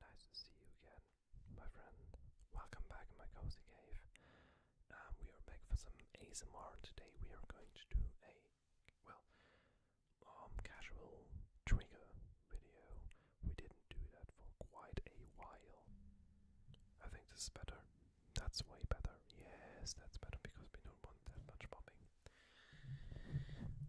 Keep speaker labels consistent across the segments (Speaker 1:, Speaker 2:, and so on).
Speaker 1: Nice to see you again, my friend. Welcome back in my cozy cave. Um, we are back for some ASMR today. We are going to do a well, um, casual trigger video. We didn't do that for quite a while. I think this is better. That's way better. Yes, that's better because we don't want that much popping.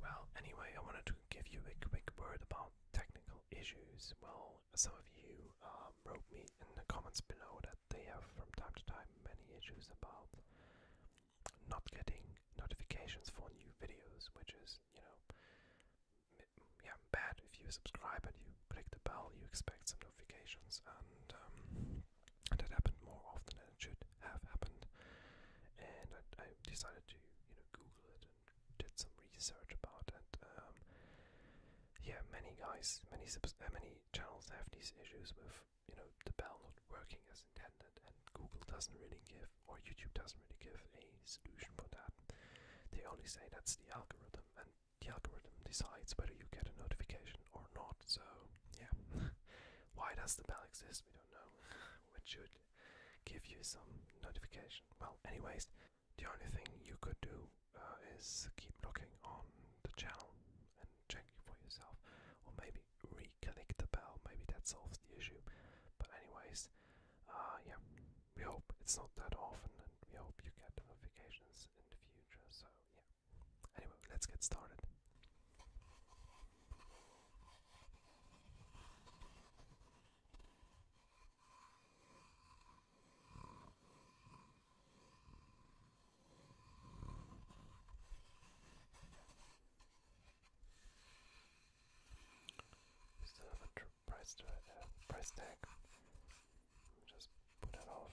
Speaker 1: Well, anyway, I wanted to give you a quick word about technical issues. Well, some of you um, wrote me in the comments below that they have from time to time many issues about not getting notifications for new videos, which is, you know, yeah, bad if you subscribe and you click the bell, you expect some notifications, and um, that happened more often than it should have happened. And I, decided to, you know, Google it and did some research about it. Um, yeah, many guys, many subs uh, many channels have these issues with you know the bell not working as intended, and Google doesn't really give or YouTube doesn't really give a solution for that. They only say that's the algorithm, and the algorithm decides whether you get a notification or not. So, yeah. Why does the bell exist? We don't know. It should give you some notification. Well, anyways, the only thing you could do uh, is keep looking on the channel and check for yourself, or maybe re-click the bell. Maybe that solves the issue. But anyways uh, yeah, we hope it's not that often, and we hope you get notifications in the future. So yeah. Anyway, let's get started. Still have uh, price tag. Just put it off.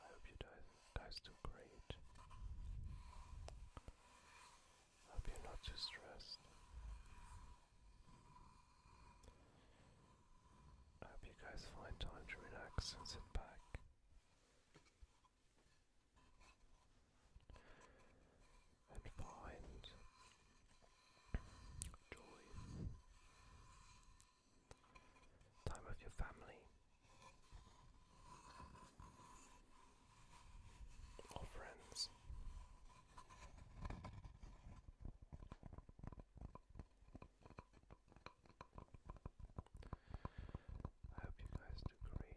Speaker 1: I hope you guys, do great. hope you're not too stressed. hope you guys find time to relax and sit back. And find joy time with your family or friends. I hope you guys do great.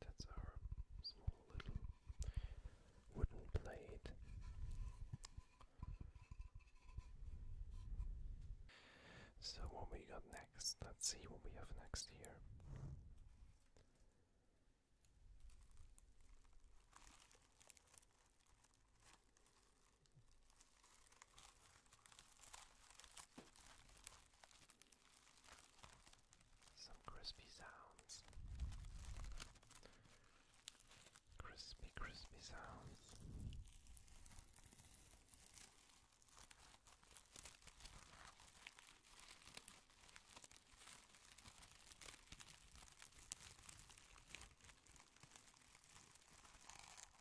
Speaker 1: That's our small little wooden plate. So, what we got next? Let's see what we have next here. Some crispy sounds. Crispy, crispy sounds.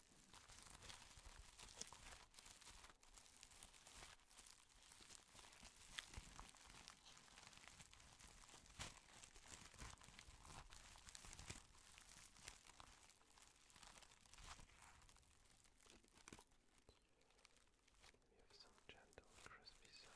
Speaker 1: We have some gentle crispy sounds.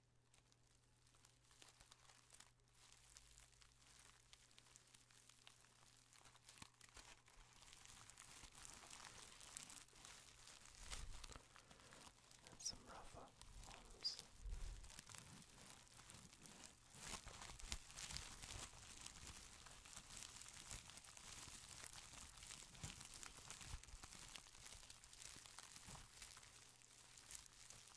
Speaker 1: And some rougher ones.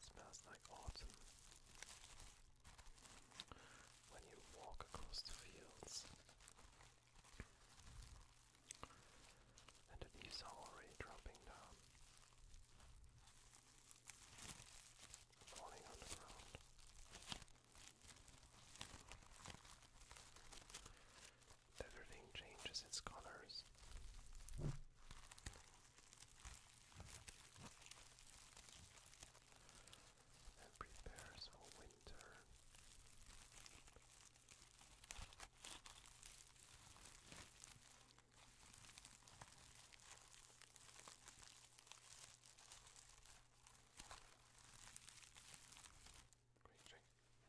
Speaker 1: Smells like autumn. When you walk across the fields, and the leaves are already dropping down, falling on the ground. Everything changes its colors. And prepares for winter.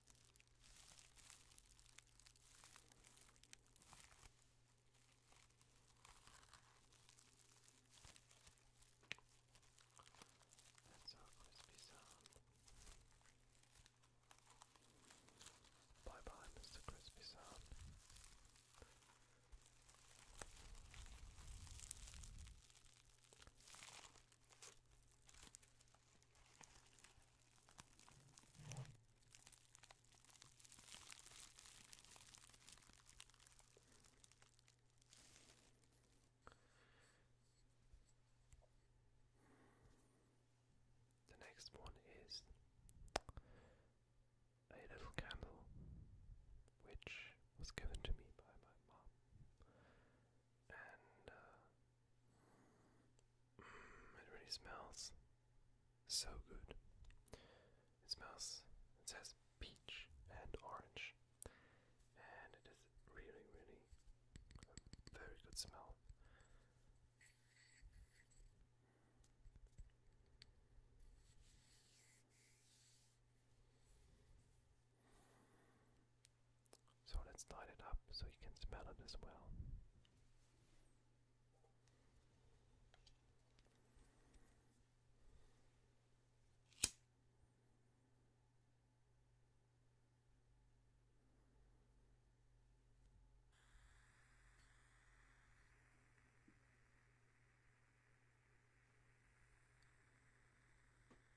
Speaker 1: That's a crispy sound. Bye bye, Mr. Crispy Sound. The next one is a little candle which was given to me by my mom and uh, mm, it really smells so good. It smells, it says peach and orange, and it is really, really a very good smell. So let's light it up so you can smell it as well.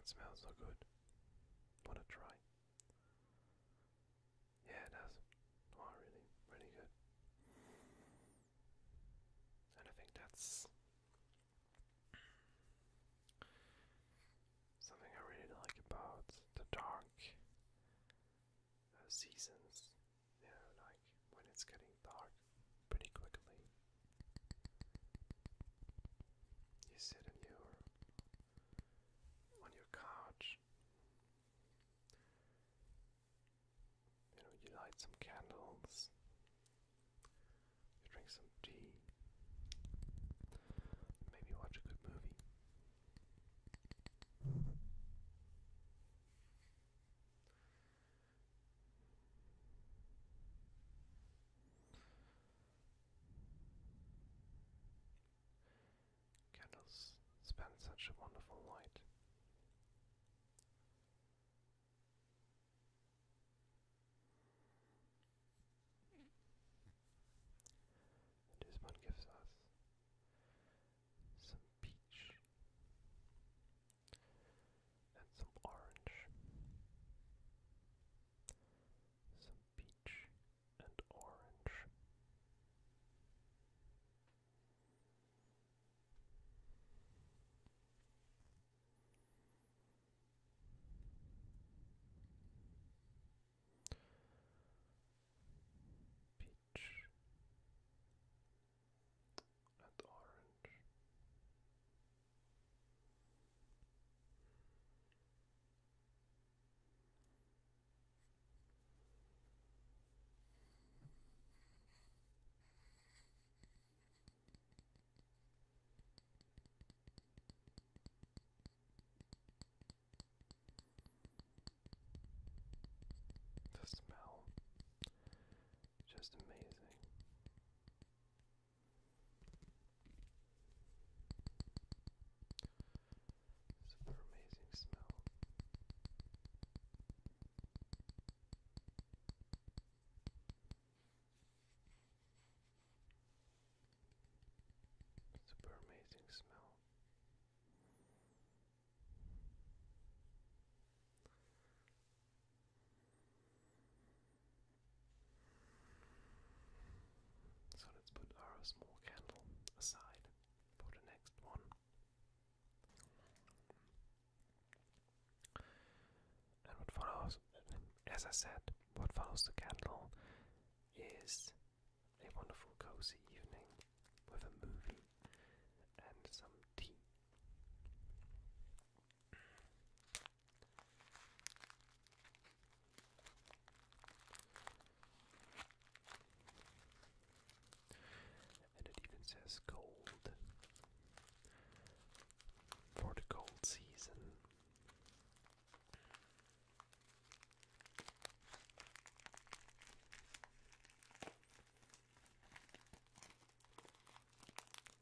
Speaker 1: It smells so good. Wanna try? Yeah, it does. Oh, really, really good. And I think that's something I really like about the dark uh, seasons. You know, like when it's getting dark pretty quickly. You sit in your on your couch. you light some candles. You drink some tea. Maybe watch a good movie. Candles spend such a wonderful light. this one gives us some peach and some orange, some peach and orange. Peach and orange. The smell just amazing. Super amazing smell. Super amazing smell. So let's put our small candle aside for the next one. And what follows, as I said, what follows the candle is a wonderful cozy evening with a movie and some tea. And it even says cold for the cold season.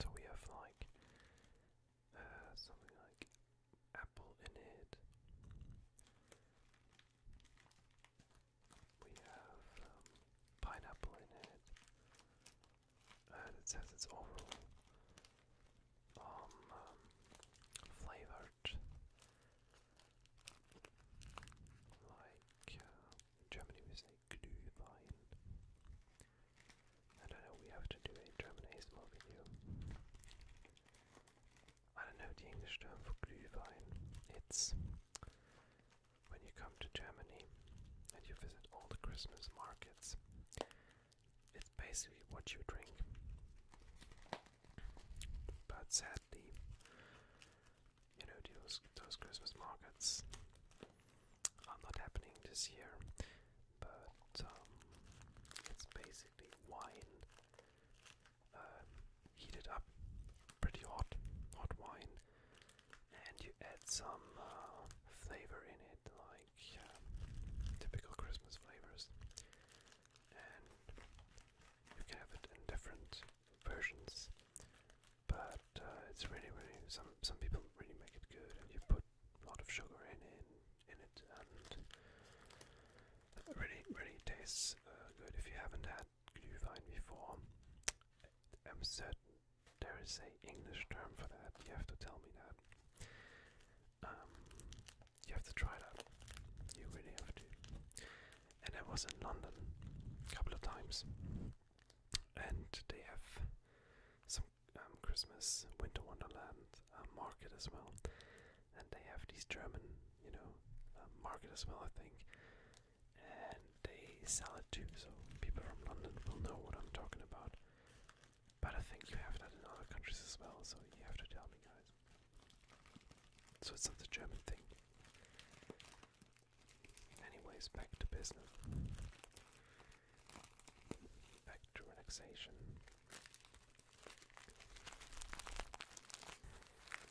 Speaker 1: So we have like uh, something like apple in it. We have um, pineapple in it. And it says it's overall um, um, flavored like uh, in Germany we say Glühwein. I don't know, we have to do a German ASMR video. I don't know the English term for Glühwein. It's when you come to Germany and you visit all the Christmas markets, it's basically what you drink. But sadly, you know, those, those Christmas markets are not happening this year, but um, it's basically wine uh, heated up pretty hot, hot wine and you add some uh, flavor in it, like um, typical Christmas flavors. And you can have it in different versions, but uh, it's really, really some some people really make it good, and you put a lot of sugar in in, in it, and really, really tastes uh, good. If you haven't had glühwein before, I'm certain there is a English term for that. You have to tell me that. Um, you have to try that. You really have to. And I was in London a couple of times, and they have some um, Christmas Winter Wonderland uh, market as well, and they have these German, you know, uh, market as well. I think and they sell it too, so people from London will know what I'm talking about. But I think you have that in other countries as well, so you have to tell me, guys. So it's not the German thing. Anyways, back to business. Back to relaxation.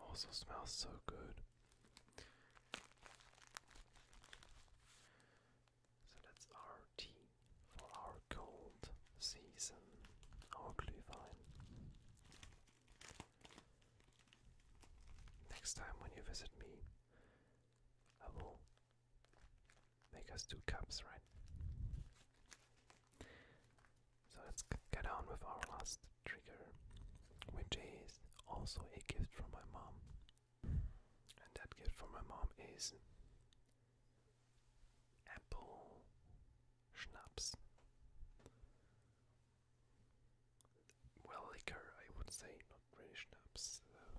Speaker 1: Oh, it also smells so good. So that's our tea for our cold season, our Glühwein. Next time when you visit me, I will make us two cups, right? So let's get on with our last trigger, which is also a gift from my mom. And that gift for my mom is apple schnapps. Well, liquor, I would say, not really schnapps. Uh.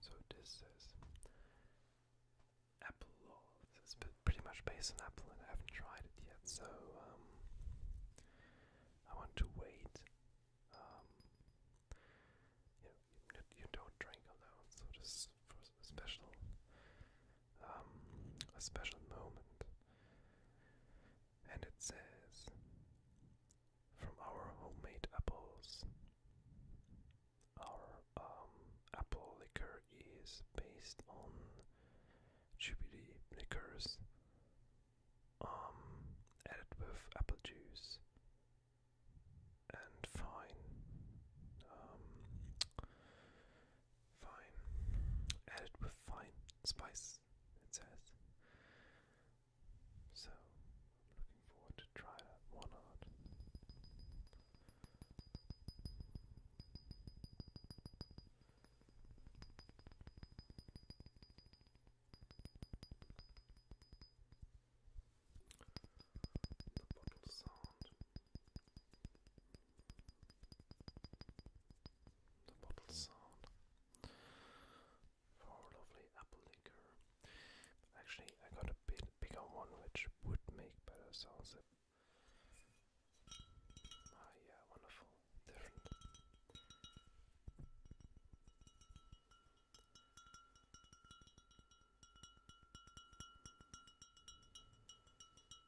Speaker 1: So this says apple This is pretty much based on apple, and I haven't tried it yet. So um, I want to wait. Um, you don't drink alone, so this for special um, a special moment. And it says, from our homemade apples, our um, apple liquor is based on Jubilee liquors um, added with apple juice and fine um, Fine. Added with fine spice, it says. So, looking forward to try that one out. The bottle sound the bottle sound for lovely apple liqueur. Actually, I got a bit bigger one which would make better sounds. Ah, uh, yeah, wonderful. Different.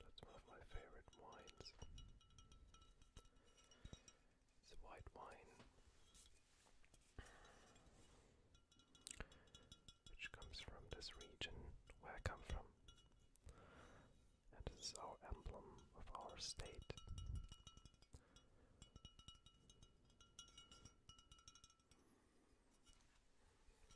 Speaker 1: That's one of my favorite wines. It's white wine, which comes from this region where I come from. And this our emblem of our state.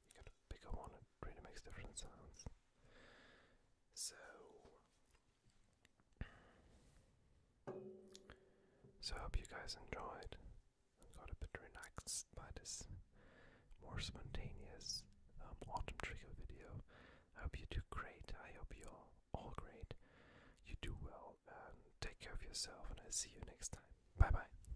Speaker 1: You gotta pick up one, it really makes different sounds. So, so I hope you guys enjoyed. I got a bit relaxed by this more spontaneous um, autumn trigger video. hope you do great. I hope you're all great. You do well and take care of yourself, and I'll see you next time. Bye bye.